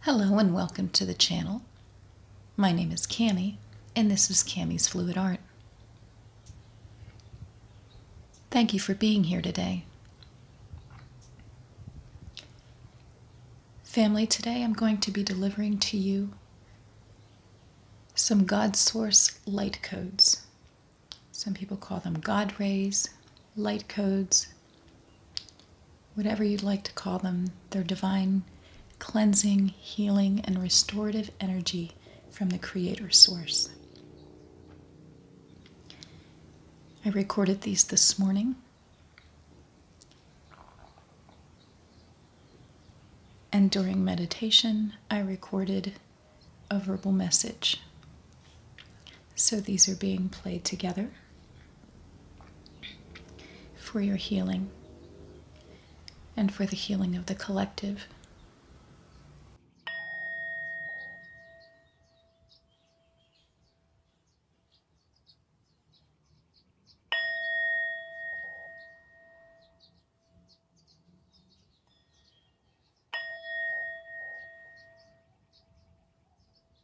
Hello and welcome to the channel. My name is Cami and this is Cami's Fluid Art. Thank you for being here today. Family, today I'm going to be delivering to you some God Source light codes. Some people call them God rays, light codes, whatever you'd like to call them, their divine cleansing, healing, and restorative energy from the Creator Source. I recorded these this morning. And during meditation, I recorded a verbal message. So these are being played together for your healing and for the healing of the collective.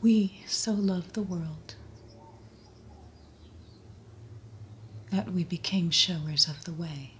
We so loved the world that we became showers of the way.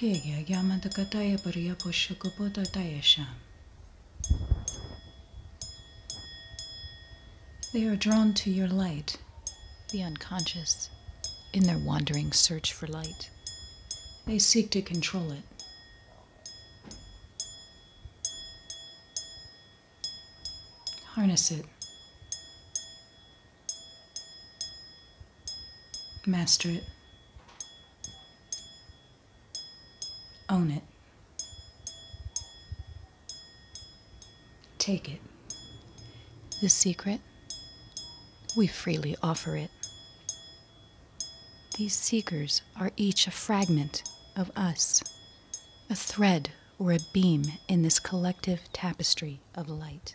They are drawn to your light. The unconscious, in their wandering search for light, they seek to control it. Harness it. Master it. Own it. Take it. The secret, we freely offer it. These seekers are each a fragment of us, a thread or a beam in this collective tapestry of light.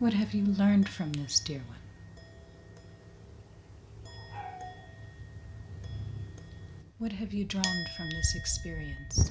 What have you learned from this, dear one? What have you drawn from this experience?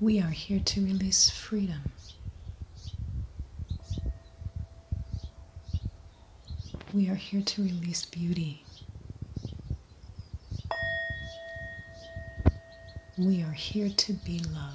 We are here to release freedom. We are here to release beauty. We are here to be love.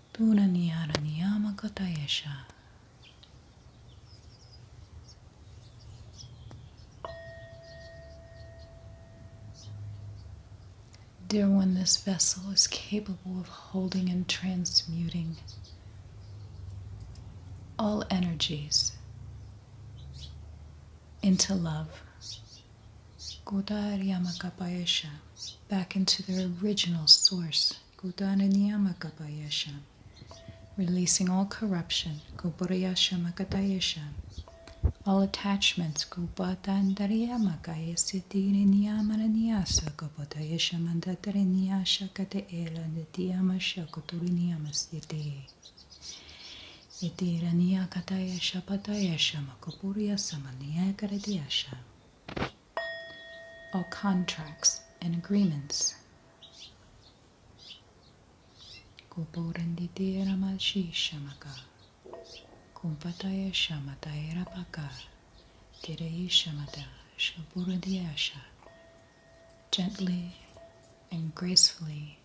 Puranyaraniyama Katayesha. Dear one, this vessel is capable of holding and transmuting all energies into love yama Godaryamakapayesha, back into their original source, Godaryamakapayesha, releasing all corruption, Gobarayasha Makatayesha, all attachments, mandata Gobatandaryamakayasitiriniyamananiyasa, Gobatayesha Mandatariyasha Kataela Nityamasha Koturiniyamastite. Itiraniya Katayesha Patayesha Samakapuriya Samaniyakaradiyasha. All contracts and agreements. Kuburanditi Ramashi maka, Kumpataya Shamataya Rapaka. Tirayi Shamata Shaburandiyasha. Gently and gracefully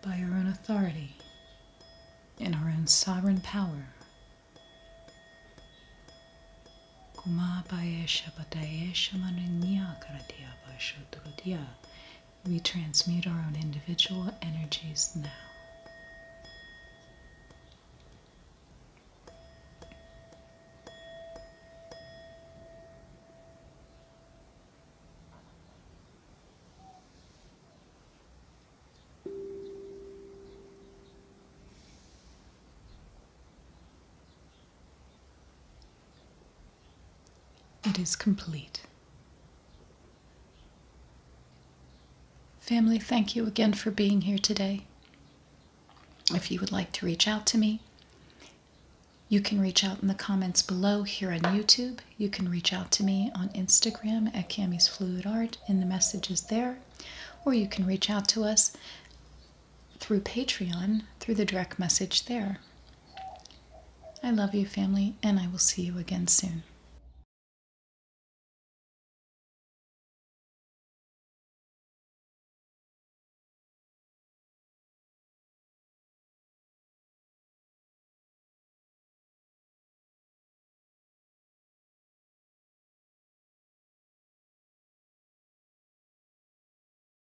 by her own authority and her own sovereign power. Kuma Baesha Bataesha Mananya Karatiya Bashudrudya we transmute our own individual energies now. It is complete. Family, thank you again for being here today. If you would like to reach out to me, you can reach out in the comments below here on YouTube. You can reach out to me on Instagram at Cami's Fluid Art, in the messages there. Or you can reach out to us through Patreon through the direct message there. I love you, family, and I will see you again soon.